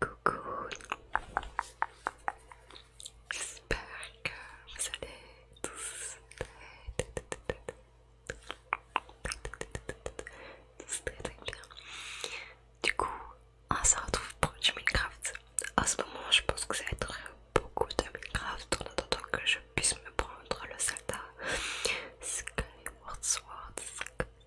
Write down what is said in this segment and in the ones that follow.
Coucou, j'espère que vous allez tous très, très, bien. Du coup, on se retrouve pour du Minecraft. En ce moment, je pense que ça va être beaucoup de Minecraft en attendant que je puisse me prendre le salta. Skyward Sword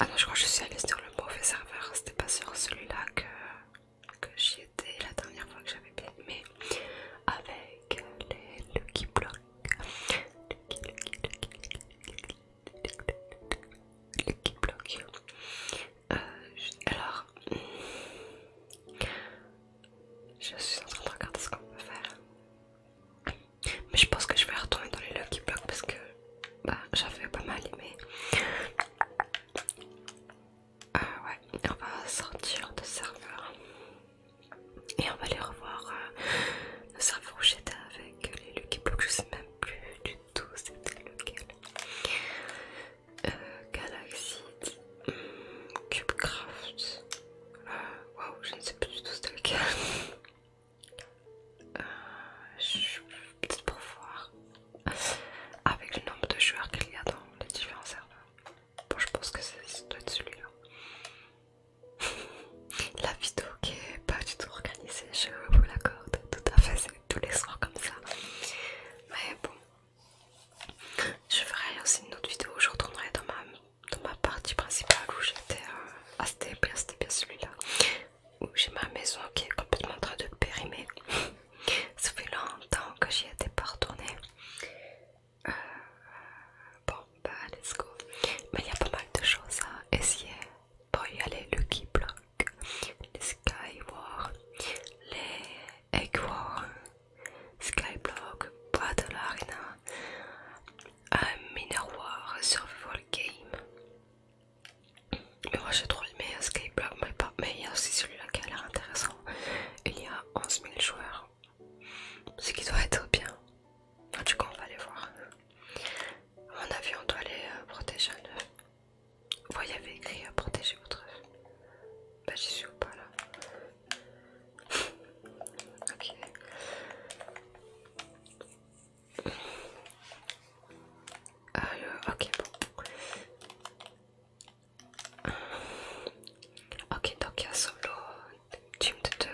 alors je crois que je suis allée sur le mauvais serveur. C'était pas sur celui-là que, j'y étais la dernière fois que j'avais bien aimé. Avec les Lucky Blocks. Lucky, Lucky, Lucky, Lucky, Lucky, Lucky Blocks. Euh, alors, je suis en train de regarder ce qu'on peut faire. Mais je pense que je vais retourner dans les Lucky Blocks parce que bah, j'avais pas mal aimé. Ah ouais, on va sortir de serveur et on va aller revoir euh, le serveur où j'étais avec les Lucky Blocks, Je sais même plus du tout c'était lequel. Euh, Galaxy, Cubecraft. Euh, waouh, je ne sais plus du tout c'était lequel. Euh, je... Peut-être pour voir avec le nombre de joueurs qu'il y a dans les différents serveurs. Bon, je pense que c'est doit être celui-là. la vidéo qui est pas du tout organisée, je vous l'accorde, tout à fait, c'est tous les soirs comme ça. Mais bon, je ferai aussi une autre vidéo où je retournerai dans ma, dans ma partie principale où j'étais. assez euh, bien, c'était bien celui-là. J'ai ma maison qui est complètement en train de périmer. Ça fait longtemps que j'y étais pas retournée. Euh, bon, bah, let's go. Mais il y a pas mal de choses à essayer. pour y aller, le Lucky Block, les Sky War, les Egg War, Sky Block, Battle Arena, un War, Survival Game. Mais moi j'ai trop aimé Skyblock, mais, mais il y a aussi celui-là qui a l'air intéressant. Il y a 11 000 joueurs. Ce qui doit être bien. En tout cas, on va aller voir. À mon avis, on doit aller euh, protéger un oeuf Vous voyez, il y avait écrit euh, protéger votre oeuf Bah, ben, j'y suis ou pas là Ok. Euh, ok, Ok, donc il y a solo, team de 2,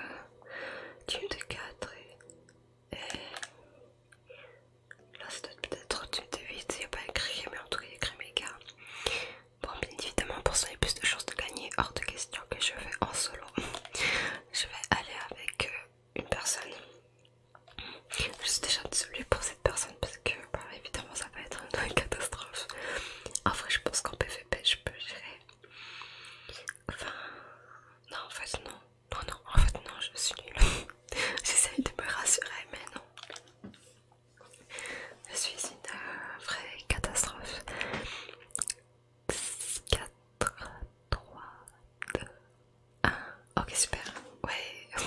team de 4 et, là c'est peut-être team de 8, il n'y a pas écrit, mais en tout cas il y a écrit méga. Bon, bien évidemment, pour ça il y a plus de chances de gagner, hors de question que je vais en solo. Je vais aller avec euh, une personne je suis déjà désolée pour cette personne parce que bah, évidemment ça va être une catastrophe. En vrai je pense qu'en PVP je peux gérer. Enfin... Non en fait non. Non oh, non en fait non je suis nulle. J'essaye de me rassurer mais non. Je suis une euh, vraie catastrophe. 4, 3, 2, ah, ok, super. Ouais.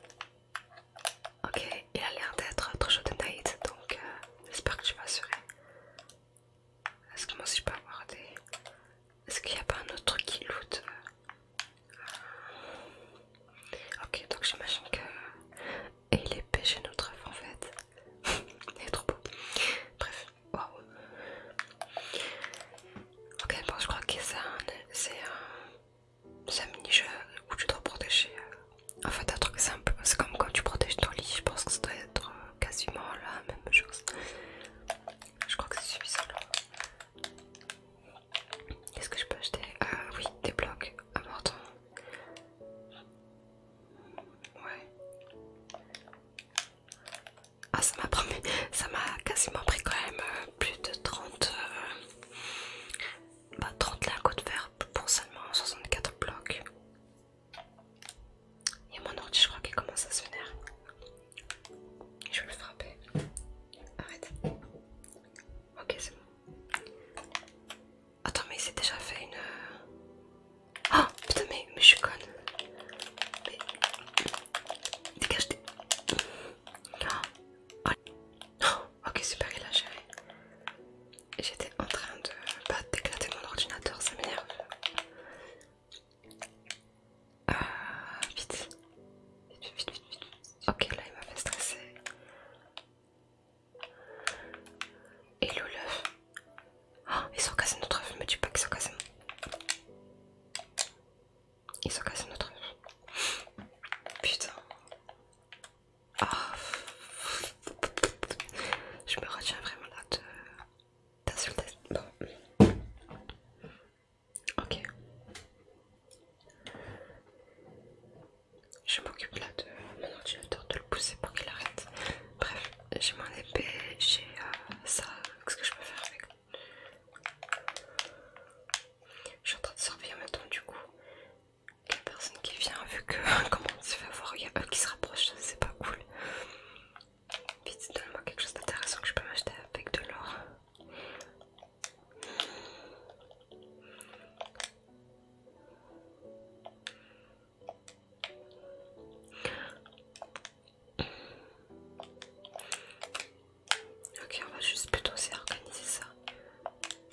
ok, il a l'air d'être trop chaud de night, donc euh, j'espère que tu vas assurer. Est-ce que moi aussi je peux avoir des. Est-ce qu'il n'y a pas un autre qui loot Ok, donc j'imagine que. Et il est pêché notre œuf en fait. il est trop beau. Bref, waouh. Ok, bon, je crois que c'est un, mini-jeu où tu dois protéger. Euh, en fait, un truc simple, c'est comme quand tu protèges ton lit. Je pense que ça doit être euh, quasiment la même chose. Je crois que c'est suffisant est ce que je peux acheter Ah oui, des blocs, important. Ouais. Ah, ça m'a promis, ça m'a quasiment pris quand même euh, plus de 30, 30 euh, bah, lingots de verre pour seulement 64 blocs. a mon ordi, je crois qu'il commence à se vénérer. Je vais le frapper. Arrête. Ok, c'est bon. Attends, mais il s'est déjà fait une. Euh, ah putain, mais, je suis conne. Mais dégage tes... Ah. Oh, ok, super, il a géré. J'étais en train de pas bah, d'éclater mon ordinateur, ça m'énerve. Euh, vite. Vite, vite, vite, vite. Ok, là il m'a fait stresser. et l'œuf. Ah ils sont casés notre œuf, me dis pas qu'ils sont casés ils ont cassé notre nom Putain. Ah. Je me retiens vraiment là de t'insulter. Bon. Ok. Je m'occupe là de mon ordinateur, de le pousser pour qu'il arrête. Bref, j'ai mon épée, j'ai euh, ça, qu'est-ce que je peux faire avec je suis en train de surveiller maintenant du coup la personne qui vient vu que comment on se fait voir il y a eux qui se rapprochent, c'est pas cool. Vite, donne-moi quelque chose d'intéressant que je peux m'acheter avec de l'or. Ok, on va juste plutôt s'organiser ça.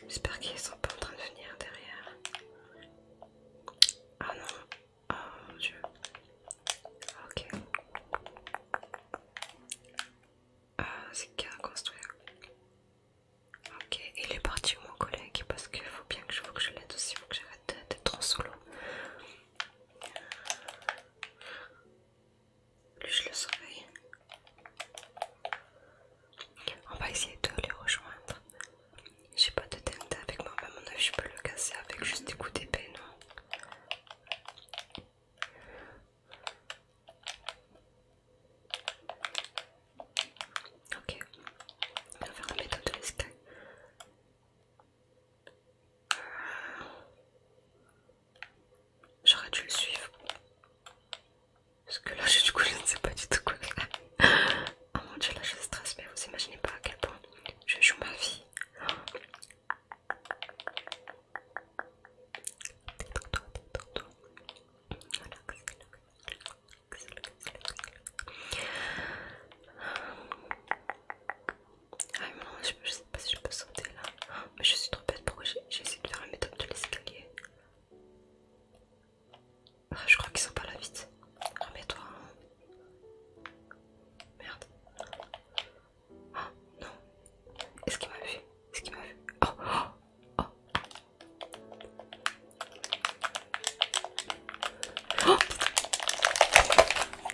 J'espère qu'ils sont pas en train de venir derrière. Ah non, oh dieu. Ok. Ah, c'est a construit? Ok, il est parti mon collègue parce qu'il faut bien que je, que je l'aide aussi, faut que j'arrête d'être trop solo. Plus le surveille On va essayer de le rejoindre. J'ai pas de tente avec moi, mais mon œil, je peux le casser avec juste des coups d'épée, non Ok, on va faire la méthode de l'escalier. J'aurais dû le suivre. Parce que là, je, du coup, je ne sais pas du tout quoi Oh mon dieu, là, je stresse, mais vous imaginez pas à quel point je joue ma vie. Voilà. Ah mais non, je, sais pas si je peux sauter là. mais je suis trop bête, pourquoi j'ai essayé de faire la méthode de l'escalier ah, Je crois qu'ils sont pas là vite. Remets-toi. Merde. Oh non. Est-ce qu'il m'a vu Est-ce qu'il m'a vu Oh Oh Oh Oh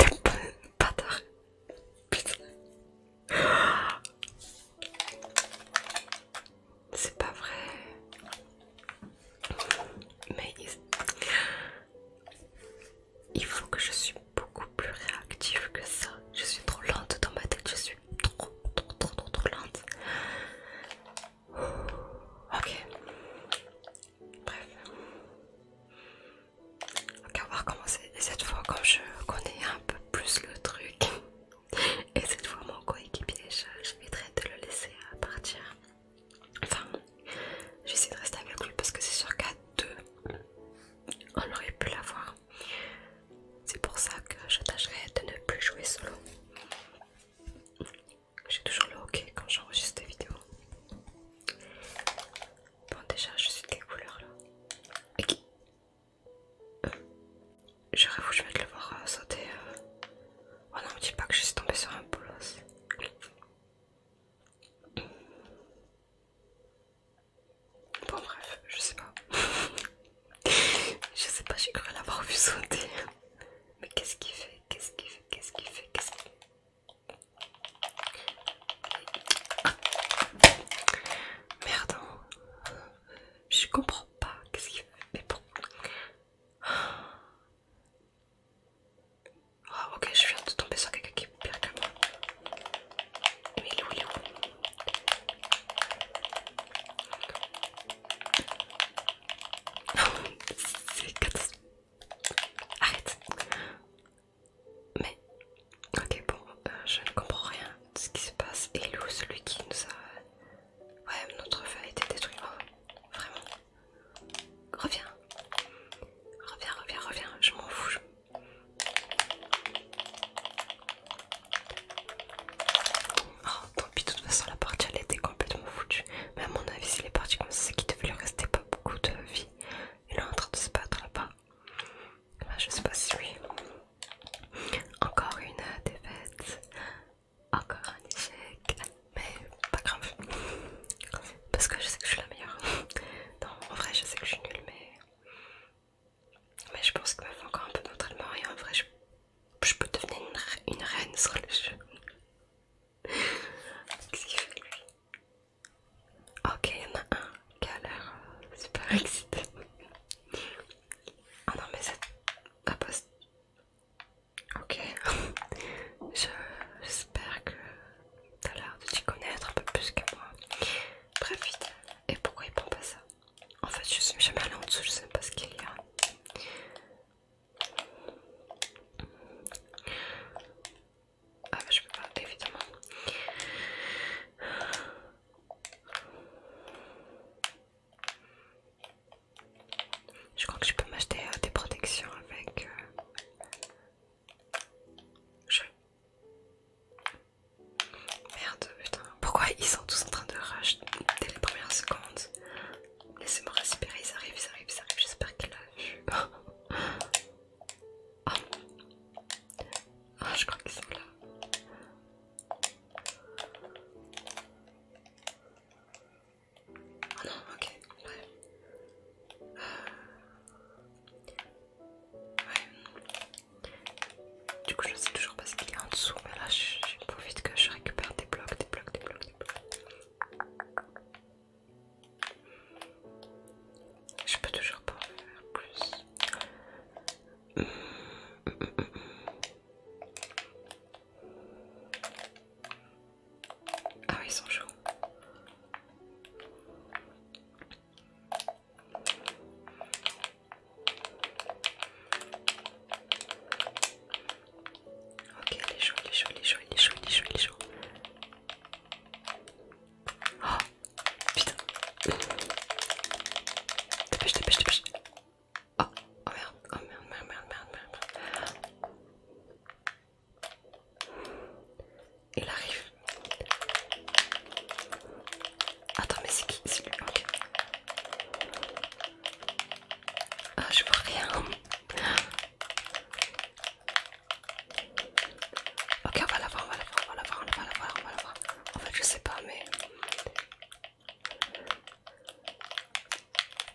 T'es c'est pas vrai. Mais il faut que je suis beaucoup plus réactive que ça. Je suis trop lente dans ma tête. Je suis trop, trop, trop, trop, trop lente. Ok. Bref on va cette fois, comme je connais un peu plus le truc, et cette fois, mon coéquipier, je, vais de le laisser partir. Enfin, j'essaie de rester avec lui parce que c'est sur qu'à deux, on aurait pu l'avoir. C'est pour ça que je tâcherai de ne plus jouer solo. J'ai toujours le ok quand j'enregistre des vidéos. Bon déjà je suis de quelle couleur là. Mais qui euh, J'aurais voulu je vais le voir euh, sauter. Euh. Oh non me dis pas que je suis tombée sur un bolos. Bon bref, je sais pas. je sais pas, j'ai cru l'avoir vu sauter. Mais qu'est-ce fait Qu'est-ce qu'il fait Qu'est-ce qu'il fait Qu'est-ce qu'il fait Merde, je comprends pas. Qu'est-ce qu'il fait Mais bon. Ah, ok, je viens de tomber sur quelqu'un qui est pire que moi. Mais il est où, il est où C'est catastrophique. Arrête. Mais, ok, bon, euh, je ne comprends rien de ce qui se passe. Et Lou, celui qui nous a. Ouais, notre feu a été détruit. Oh, vraiment. Reviens. Reviens, reviens, reviens. Je m'en fous. Oh, tant pis, de toute façon, la partie elle était complètement foutue. Mais à mon avis, les parties comme ça, c'est qu'il devait lui rester pas beaucoup de vie. Il est en train de se battre là-bas. Ah, je sais pas si oui. Encore une défaite, encore un échec, mais pas grave. Parce que je sais que je suis la meilleure. Non, en vrai, je sais que je suis nulle, mais. Mais je pense qu'il me fait encore un peu d'entraînement et en vrai, je, peux devenir une, reine sur le jeu. Ok, il y en a un qui a l'air euh, super excité. Ah oh non, mais c'est. un poste. Ok. J'espère que t'as l'air de t'y connaître un peu plus que moi. Bref, vite. Et pourquoi il prend pas ça En fait, je suis jamais allée en dessous, je sais pas ce qu'il y a. Ah bah je peux pas, évidemment. Je crois que je peux m'acheter euh, des protections avec... Euh, Merde, putain. Pourquoi ils sont tous en train de rush dès les premières secondes Laissez-moi respirer, ils arrivent, ils arrivent, ils arrivent. J'espère qu'il a vu. Ah. ah, je crois qu'ils sont là. Ah non, ok, ouais. Du coup, je sais toujours pas ce qu'il y a en dessous, mais là, je profite que je récupère des blocs, des blocs, des blocs, des blocs. Je peux toujours pas en faire plus. Ah ils sont chauds. Ok, les est les il les chaud, il est chaud, il est chaud, Putain. Dépêche, dépêche, dépêche. Ah, oh, merde, oh merde, merde, merde, merde, merde. Il arrive. Attends, mais c'est qui C'est lui, ok. Ah, je vois rien. Ok, on va la voir, on va la voir, on va la voir, on va la En fait, je sais pas, mais.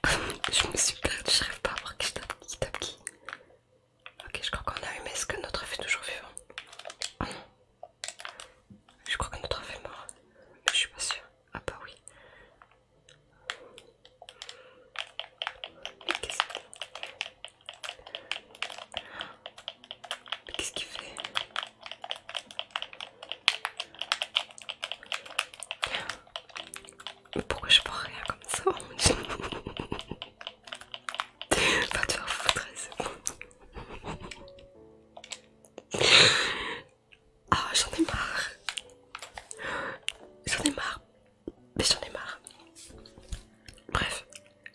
je me suis perdu je rêve pas à voir qui tape qui. Tape qui. Ok, je crois qu'on a eu, mais est-ce que notre œuf est toujours vivant Oh non. Je crois que notre œuf est mort, mais je suis pas sûre. Ah bah oui. Qu'est-ce qu'il fait Mais pourquoi je vois rien comme ça te faire foutre, Ah, j'en ai marre. J'en ai marre mais j'en ai marre. Bref,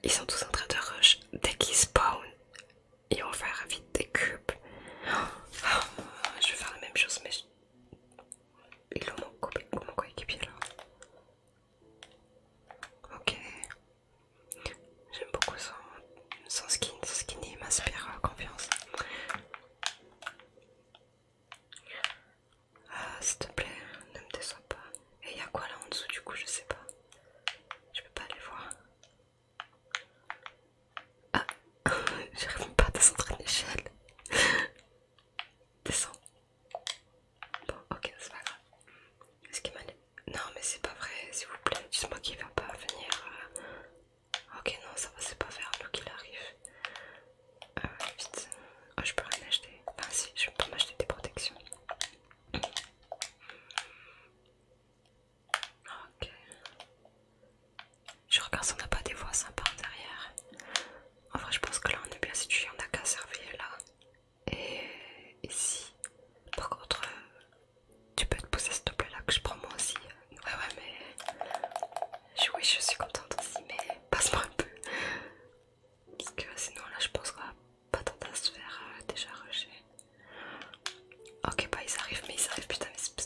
ils sont tous en train de rush dès qu'ils spawn. Ils vont faire vite des cubes. Oh, je vais faire la même chose, mais ils ont mon, coéquipier là. Ok. J'aime beaucoup son, skin. Son skin il m'inspire euh, confiance. Ah, s'il te plaît, ne me déçois pas. Et il y a quoi là en dessous du coup, je sais pas. Je peux pas aller voir. Ah, j'arrive même pas à descendre l'échelle. échelle. Descends. Bon, ok, c'est pas grave. Est-ce qu'il m'a Non, mais c'est pas vrai, s'il vous plaît. dis moi qu'il va pas venir. Euh. Ok, non, ça va, c'est pas faire qu'il arrive. Euh, vite. Ah, je peux rien acheter. Enfin, si, je peux m'acheter des protections. Ok. Je regarde si on n'a pas des voix sympas derrière. En vrai, je pense que là on est bien situé, on n'a qu'à surveiller là. Et ici. Par contre, euh, tu peux te pousser s'il te plaît là que je prends moi aussi. Ouais, ouais, mais. Je, oui, je suis contente aussi, mais passe-moi un peu. Parce que sinon là je pense qu'on va pas tenter à se faire euh, déjà rusher. Ok bah ils arrivent mais ils arrivent putain mais c'est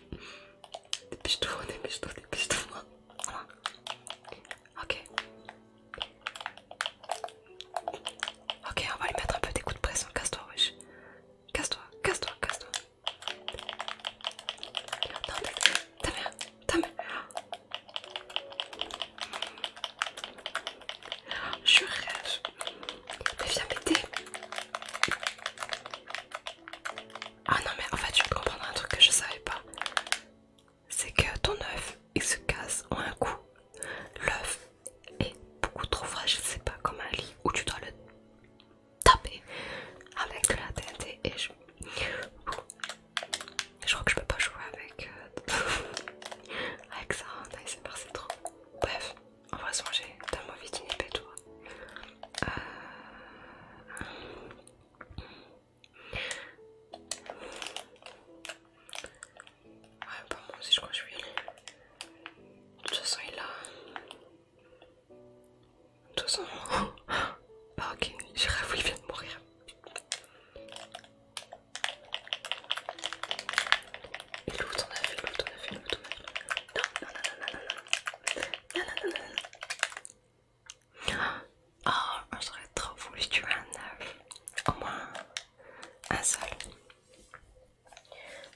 Dépêche-toi, dépêche-toi, dépêche-toi. Ok. Ok, on va lui mettre un peu des coups de pression. Casse-toi, wesh. Casse-toi, casse-toi, casse-toi. Non, ta mère je rêve. Mais viens m'aider. Ah non, mais en fait, tu peux comprendre un truc que je savais pas. C'est que ton œuf, il se casse en un coup. L'œuf est beaucoup trop fragile, c'est pas comme un lit où tu dois le taper avec la tête et je je crois que je peux pas jouer avec, euh, avec ça, hein, c'est trop. Bref, en vrai, j'ai tellement envie d'une épée, toi. Euh... Ouais, pas moi aussi, je crois que je vais y aller. De toute façon, il a. De toute façon. bah, ok, j'ai rêvé, il vient de mourir. Et l'autre on a fait, l'autre on a fait, l'autre Non, non, non, non, non, non, non, non, non, non. Oh, j'aurais trop tuer un neuf. Au moins un seul.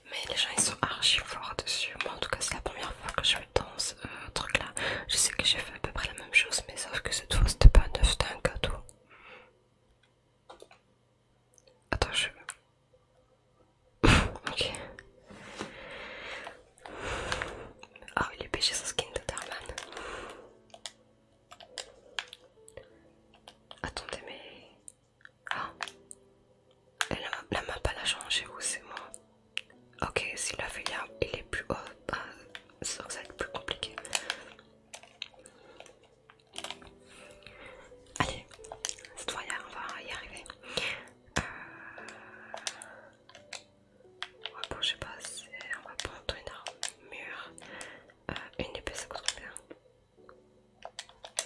Mais les gens ils sont archi forts dessus. Moi en tout cas c'est la première fois que je danse un euh, truc je sais que j'ai fait à peu près la même chose, mais sauf que cette fois c'était pas un œuf, c'était un gâteau. Attends, je. ok. Ah, oh, il est pêché son skin de Darman. Attendez, mais. Ah! Elle ne la map elle changé ou c'est moi? Ok, si la filière il est plus haut c'est que ça va être plus compliqué. Allez, cette fois on va y arriver. On va pas on va prendre une arme mur, euh, une épée ça coûte bien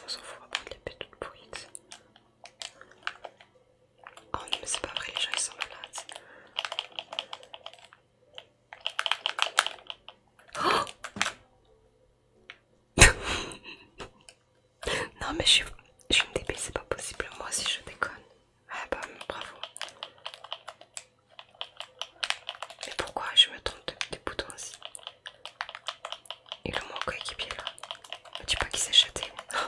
On s'en fout, on va prendre l'épée toute pourrite. Oh non mais c'est pas vrai, les gens ils sont malades. non mais je suis, je une débile, c'est pas possible moi si je déconne. Ah bah bravo. Mais pourquoi je me trompe des boutons aussi Et le mon coéquipier là. Tu dis pas qu'il s'est chaté oh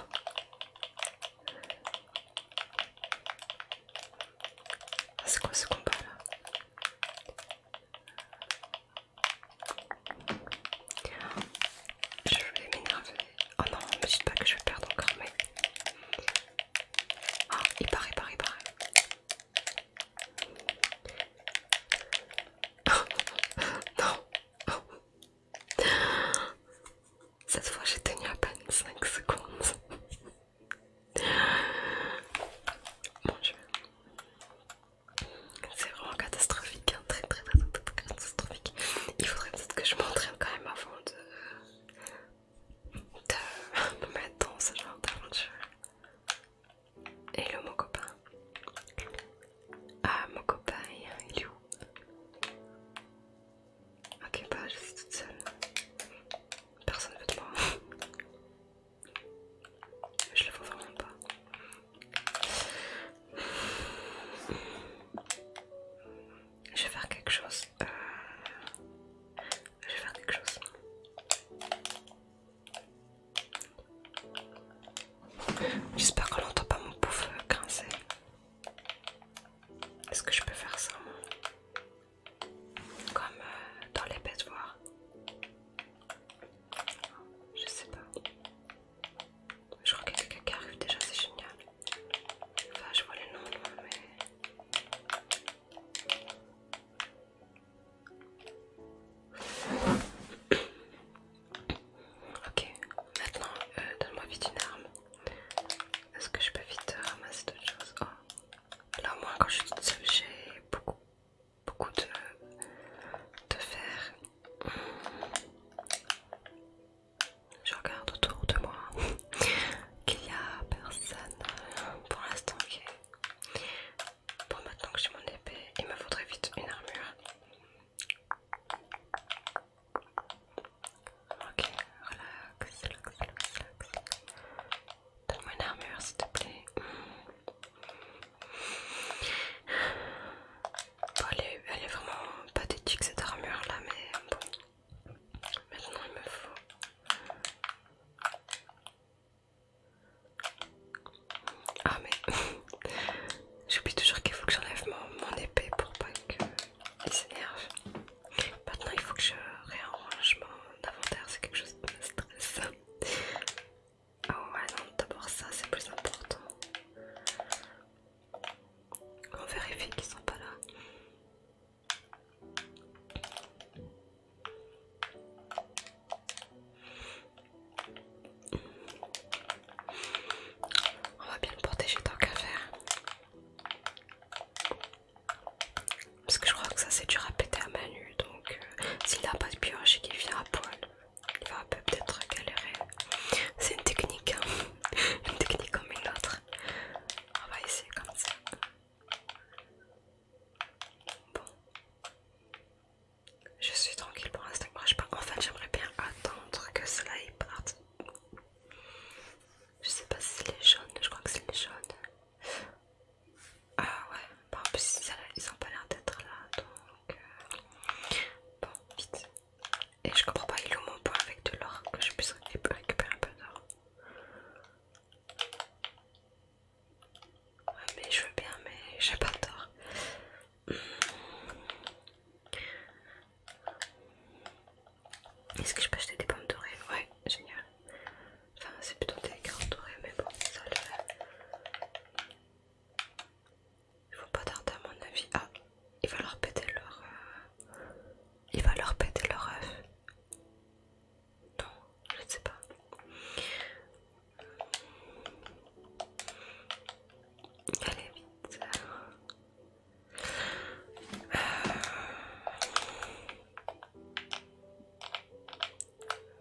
ah, c'est quoi ce combat là Je vais m'énerver. Oh non, ne me dites pas que je vais perdre encore, mais. Ah, il paraît, il paraît, il paraît. non! Cette fois j'ai tenu à peine 5 secondes. Mon dieu. C'est vraiment catastrophique, hein. très, très très catastrophique. Il faudrait peut-être que je m'entraîne quand même avant de... de me mettre dans ce genre d'aventure. Et le mon copain. Ah mon copain, il est où Ok, bah je suis toute seule. Personne veut de moi. Je le vois vraiment pas. Je vais faire quelque chose. Euh, je vais faire quelque chose. J'espère qu'on n'entend pas mon pouf grincer. Est-ce que je peux faire ça Comme euh, dans les bêtes voir. Je sais pas. Je crois qu'il y a quelqu'un qui arrive déjà, c'est génial. Enfin, je vois les noms, mais. Ok, maintenant, euh, donne-moi vite une arme. Est-ce que je peux vite ramasser d'autres choses oh. Là, Là, moi, quand je suis toute j'ai beaucoup, beaucoup de, de fer. Je regarde autour de moi qu'il n'y a personne pour l'instant. Pour Bon, maintenant que j'ai mon épée, il me faudrait vite une armure. Ok, relax, relax, relax, Donne-moi une armure s'il te plaît. elle, est, vraiment pathétique cette armure là, mais bon. Maintenant il me faut. Ah mais j'oublie toujours qu'il faut que j'enlève mon épée pour pas que il s'énerve. Maintenant, il faut que je réarrange mon inventaire, c'est quelque chose de stressant Ah ouais, non, d'abord ça, c'est plus important. On vérifie qu'ils sont pas là. On va bien le protéger tant qu'à faire. Parce que je crois que ça c'est dur à péter à Manu, donc euh, s'il n'a pas de pioche et qu'il vient à poil, il va peut-être galérer. C'est une technique, hein. une technique comme une autre. On va essayer comme ça. Bon. Je suis tranquille pour l'instant. En fait, j'aimerais bien attendre que cela y parte. Je sais pas si c'est les jaunes, je crois que c'est les jaunes. Ah ouais, bon bah, en plus ils ont pas l'air d'être là donc. Euh, bon, vite. Et je comprends pas, ils louent mon point avec de l'or que je puisse récupérer un peu d'or. mais je veux bien, mais j'ai pas d'or. Est-ce que je peux acheter des pommes dorées Ouais, génial. Enfin, c'est plutôt des carottes dorées, mais bon, ça le Il ne faut pas tarder à mon avis. Ah, il va leur péter leur. Euh, il va leur péter leur œuf. Non, je ne sais pas. Allez vite. Euh.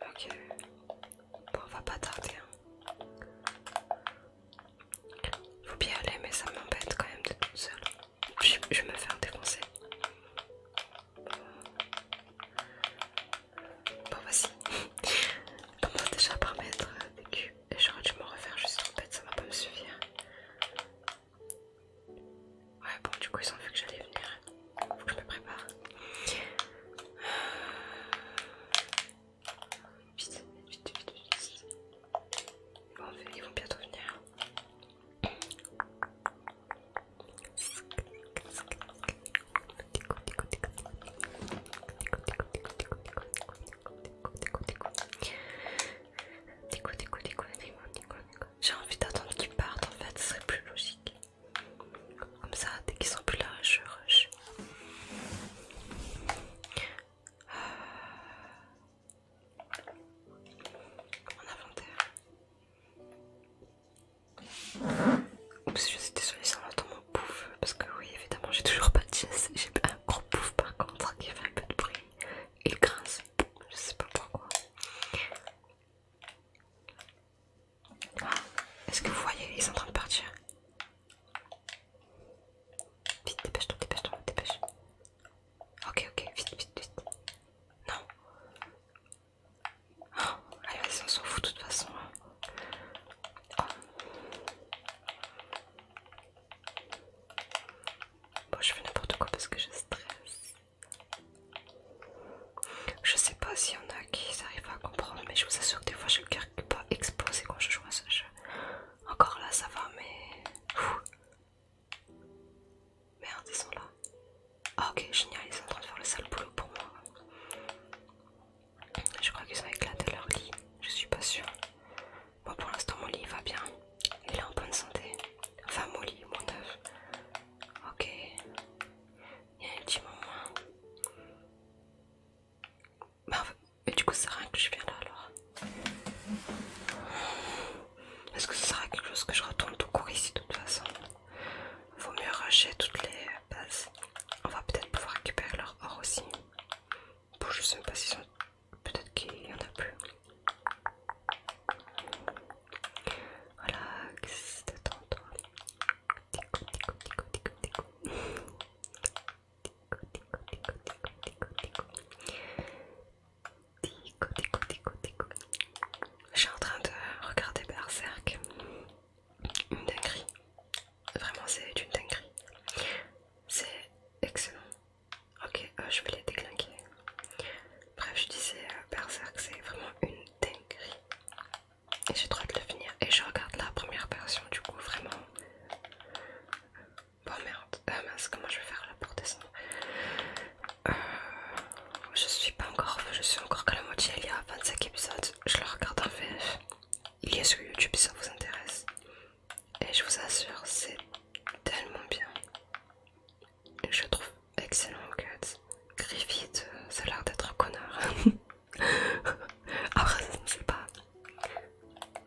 Ok. Bon, on va pas tarder. il hein. Faut bien aller, mais ça m'embête quand même de toute seule. Je, vais me faire défoncer. Bon, voici. On commence déjà par mettre des culs. Et j'aurais dû me refaire juste en tête, ça va pas me suffire. Ouais, bon, du coup, ils ont vu que j'allais venir. je me prépare. Vite, vite, vite, vite. ils vont bientôt venir. J'ai envie d'attendre qu'ils partent en fait, ce serait plus logique. Comme ça, dès qu'ils sont plus là, je rush. Ah. Mon inventaire. Oups, je suis désolée, ça entend mon pouf. Parce que, oui, évidemment, j'ai toujours pas de chaise. J'ai un gros pouf par contre qui fait un peu de bruit. Il grince. Je sais pas pourquoi. Ah, est-ce que vous voyez Ils sont en train de partir. Vite, dépêche-toi, dépêche-toi, dépêche. Ok, ok, vite, vite, vite. Non. Oh, ah, allez, on s'en fout de toute façon. Hein. Bon, je fais n'importe quoi parce que je stresse. Je sais pas s'il y en a qui arrivent à comprendre, mais je vous assure que des fois, je ne qui pas exploser quand je joue à ce jeu. Encore là, ça va, mais. Merde, ils sont là. Ah, ok, génial, ils sont en train de faire le sale boulot pour moi. Je crois qu'ils ont éclaté leur lit, je suis pas sûre. Bon, pour l'instant, mon lit va bien. Il est en bonne santé. Enfin, mon lit, mon oeuf. Ok. Il y a un petit moment. Bah, et du coup, ça sert à rien que je viens là alors. Est-ce que ça serait quelque chose que je retourne tout court ici de toute façon Vaut mieux racheter toutes les bases. On va peut-être pouvoir récupérer leur or aussi. Bon, je sais même pas s'ils sont peut-être qu'il y en a plus. Voilà, détends-toi. Je suis en train de regarder Berserk. Une dinguerie. Vraiment, c'est une dinguerie. C'est excellent. Ok, euh, je vais les déclinquer. Bref, je disais euh, Berserk, c'est vraiment une dinguerie. Et j'ai le de le finir. Et je regarde la première version, du coup, vraiment. Bon oh, merde, euh, mince, comment je vais faire là pour descendre Je suis pas encore, je suis encore qu'à la moitié, il y a 25 épisodes. Je le regarde en VF. Il y est sur YouTube si ça vous intéresse. Et je vous assure, c'est tellement bien. Je trouve excellent Griffith, euh, ça a l'air d'être un connard. Après, ça ne sait pas.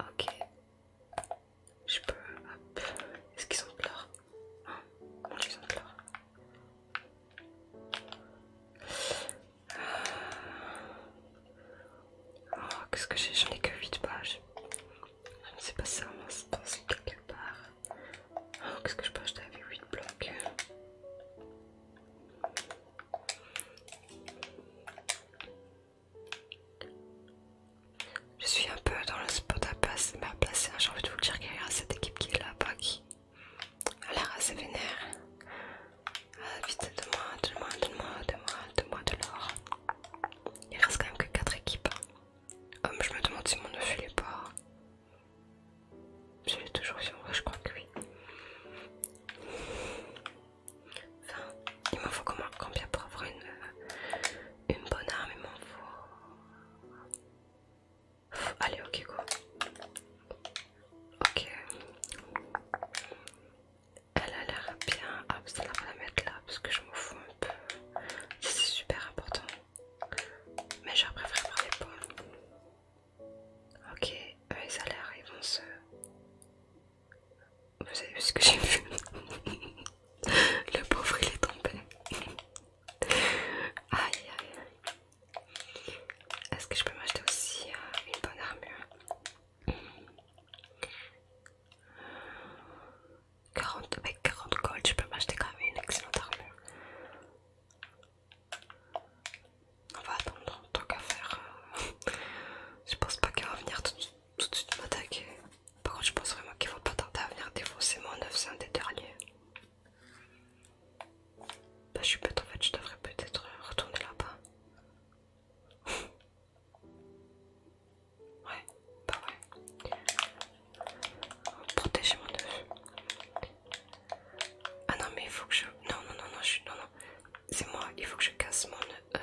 Ok. Je peux. Est-ce qu'ils sont de l'or oh, ils ont de l'or. Euh. Oh, qu'est-ce que j'ai J'en ai que 8 pages. Je ne sais pas si ça, c'est quelque part. Oh, Qu'est-ce que je peux acheter avec 8 blocs Je suis un peu dans le spot à passer, mais à placer. J'ai envie de vous le dire qu'il y a cette équipe qui est là-bas qui a l'air assez vénère. Ah, vite, donne-moi, donne-moi, donne-moi, donne-moi, deux moi de l'or. Il reste quand même que 4 équipes. Oh, je me demande si mon neuf il est pas. Je l'ai toujours sur moi, je crois que oui. Enfin, il m'en faut combien pour avoir euh, une, bonne arme Il m'en faut. Allez, ok, quoi. Ok. Elle a l'air bien. Ah, je va la mettre là parce que je m'en fous un peu c'est super important. Mais je préfère avoir les pommes. Ok, eux ils a l'air, ils vont se... Vous avez vu ce que j'ai vu Le pauvre il est tombé. Aïe aïe aïe. Est-ce que je peux m'acheter aussi euh, une bonne armure 40, avec 40 gold, je peux m'acheter quand même une excellente armure. On va attendre tant qu'à faire. Euh, je pense pas qu'elle va venir tout, de suite m'attaquer. Par contre, je pense vraiment qu'il faut pas tarder à venir défoncer mon neuf c'est un des derniers. Bah, je suis bête en fait, je devrais peut-être retourner là-bas. Ouais, pas vrai. protéger mon oeuf, Ah non mais il faut que je... Non, non, non, non, je Non, non. C'est moi, il faut que je casse mon... Euh,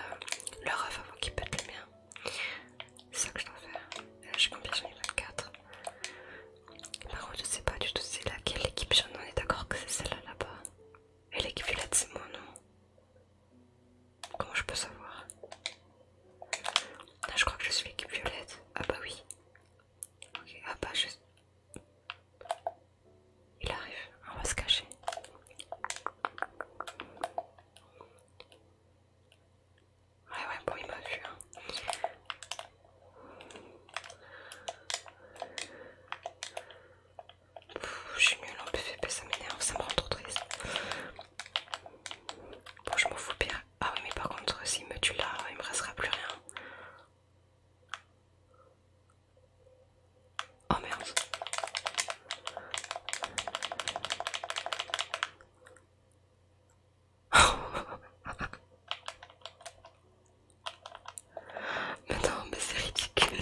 le leur avant qu'il pète le mien. C'est ça que je dois faire. là, euh, je suis combien J'en ai 24. Par contre, je sais pas du tout c'est laquelle équipe j'en ai. d'accord que c'est celle-là là-bas. Et l'équipe là c'est moi, non Comment je peux savoir Là, je crois que je suis l'équipe violette. Ah bah oui. Ok, ah bah je... Il arrive, on va se cacher. Ouais ouais, bon il m'a vu. J'ai hein. mieux je suis nulle ça m'énerve, ça me rend trop triste. Bon, je m'en fous bien. Ah oui, mais par contre, s'il me tue là, il me restera plus rien. Oh merde. mais non, mais c'est ridicule.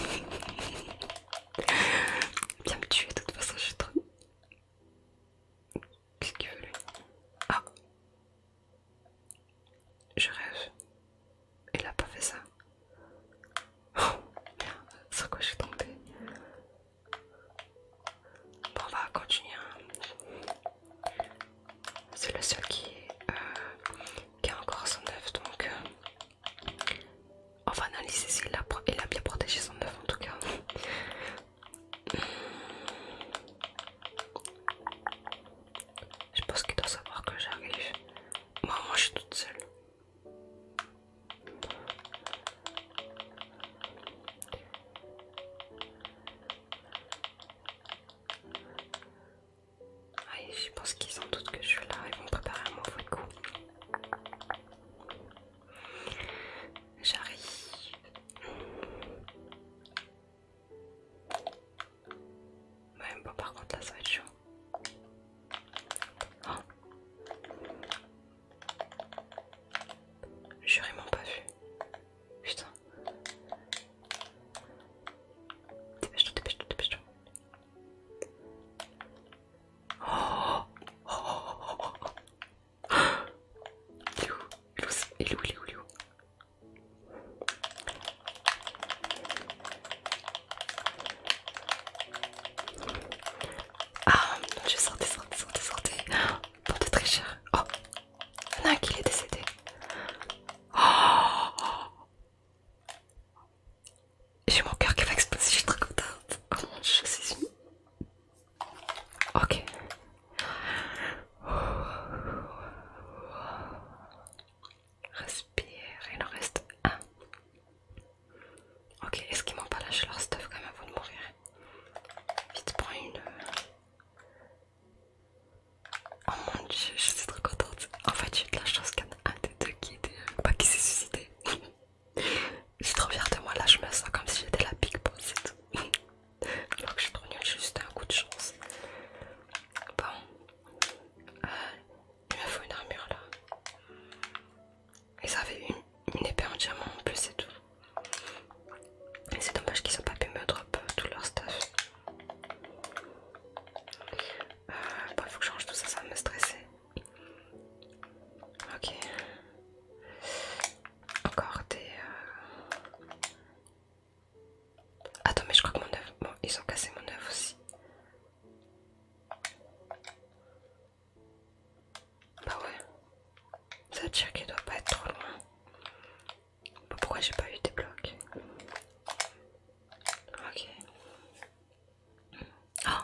Viens me tuer, de toute façon, je suis trop. Qu'est-ce qu'il veut lui Ah Je rêve. Il a pas fait ça. Oh merde, sur quoi j'ai tenté Bon, on va continuer. Hein. C'est le seul qui, euh, a encore son œuf donc. Euh, on va analyser s'il a, bien protégé son œuf en tout cas. Je pense qu'il doit savoir que j'arrive. Moi, moi, je suis toute seule. je pense qu'ils sont doute que je suis là, ils vont préparer un mauvais coup. J'arrive. Bah, même pas, par contre, là ça va être chaud. Oh. J'ai vraiment pas vu. Putain. Dépêche-toi, dépêche-toi, dépêche-toi. Oh, oh, oh, oh, oh. Il est où Il est où Il est où, il est où Ah je dieu, sortez, sortez, sortez, Pour de très cher Oh Il y en a un qui est décédé Oh j'ai mon cœur qui va exploser, je suis très contente. Oh mon dieu, c'est si... Ok. Respire, il en reste un. Ok, est-ce qu'ils m'ont pas lâché leur stuff quand même avant de mourir Vite, prends une. Oh mon dieu, je suis trop contente. En fait, j'ai de la chance qu'il y en a un des deux qui était. Pas qui s'est suicidé. J'ai trop fière moi, là je me sens comme si j'étais la big boss et tout. Alors que j'ai trop nul, j'ai juste un coup de chance. Bon, euh, il me faut une armure là. Ils avaient une, épée en diamant en plus et tout. Et c'est dommage qu'ils n'ont pas pu me drop euh, tout leur stuff. Euh, bon, il faut que je change tout ça, ça va me stresser. Ok. Encore des... Euh, Attends mais je crois que mon œuf... Bon, ils ont cassé mon œuf aussi. Bah ouais. Ça veut dire qu'il doit pas être trop loin. Bah, pourquoi j'ai pas eu des blocs Ok. Ah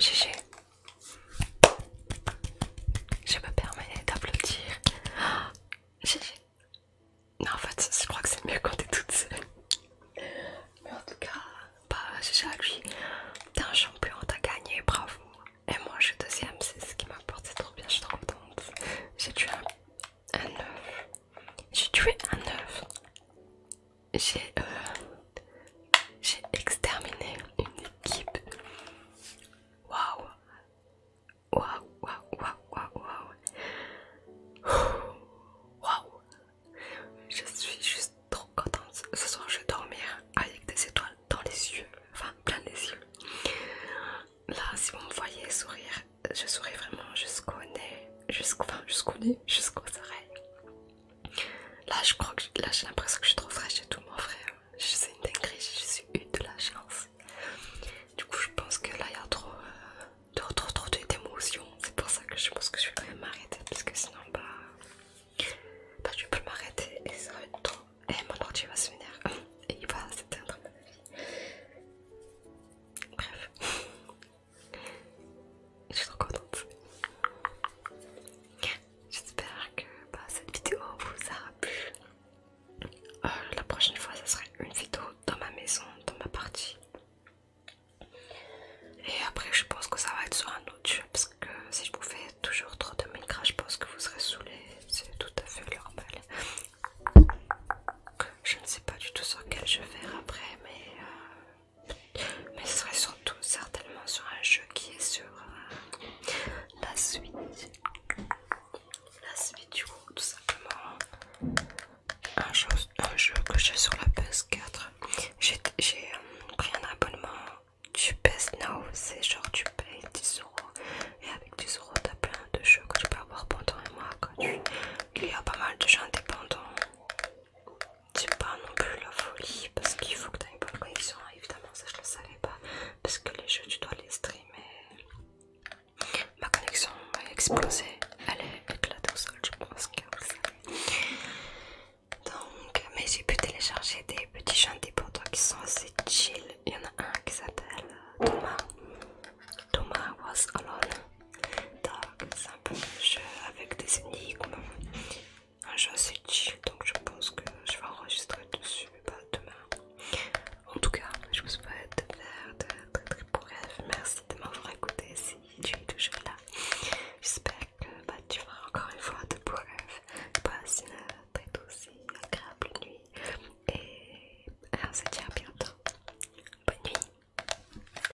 GG. Je me permets d'applaudir. GG. Non, en fait, je crois que c'est mieux quand t'es toute seule. Mais en tout cas, bah, GG à lui. T'es un champion, t'as gagné, bravo. Et moi, je suis deuxième, c'est ce qui m'importe, c'est trop bien, je suis trop contente. J'ai tué un, un J'ai tué un œuf j'ai euh, j'ai exterminé une équipe. Waouh! Waouh, waouh, waouh, waouh! Waouh! Je suis juste trop contente. Ce soir, je vais dormir avec des étoiles dans les yeux, enfin plein les yeux. Là, si vous me voyez sourire, je souris vraiment jusqu'au nez, jusqu'au enfin, jusqu'au nez, jusqu'aux oreilles. Là, je crois que j'ai l'impression que je suis trop fraîche et tout, mon frère. C'est une dinguerie, je suis une de la chance. Du coup, je pense que là, il y a euh, trop, trop, trop, d'émotions. C'est pour ça que je pense que je vais quand même m'arrêter parce que sinon, bah, bah je peux m'arrêter et ça va être trop. Et eh, mon ordi va se venir et il va s'éteindre, Bref, Je suis trop contente. J'espère que bah, cette vidéo vous aura plu. Euh, la prochaine fois, ça serait une vidéo dans ma maison, dans ma partie. Et après, je pense que ça va être sur un autre jeu parce que si je vous fais toujours trop de Minecraft, je pense que vous serez saoulés. C'est tout à fait normal. Je ne sais pas du tout sur quel je vais faire après, mais euh, mais ce serait surtout certainement sur un jeu qui est sur euh, la suite la suite du coup tout simplement un jeu, que j'ai sur la PS4 j'ai euh, pris un abonnement du PS Now c'est genre tu payes 10 euros et avec 10 euros t'as plein de jeux que tu peux avoir pendant un mois il y a pas mal de jeux indépendants c'est pas non plus la folie parce qu'il faut que tu aies une bonne connexion, évidemment ça je le savais pas parce que les jeux tu dois les streamer. Ma connexion a explosé, elle est éclatée au sol, je pense que vous savez. Donc, mais j'ai pu télécharger des petits jeux indépendants qui sont assez chill. Il y en a un qui s'appelle Thomas. Thomas was alone. Donc c'est un peu un jeu avec des énigmes, un jeu assez chill donc je pense que je vais enregistrer dessus demain. En tout cas, je vous souhaite de faire de très très beaux rêves. Merci de m'avoir écouté si tu es toujours là. J'espère que bah, tu feras encore une fois de beaux rêves. Passe une très douce agréable nuit et euh, on se dit à bientôt. Bonne nuit.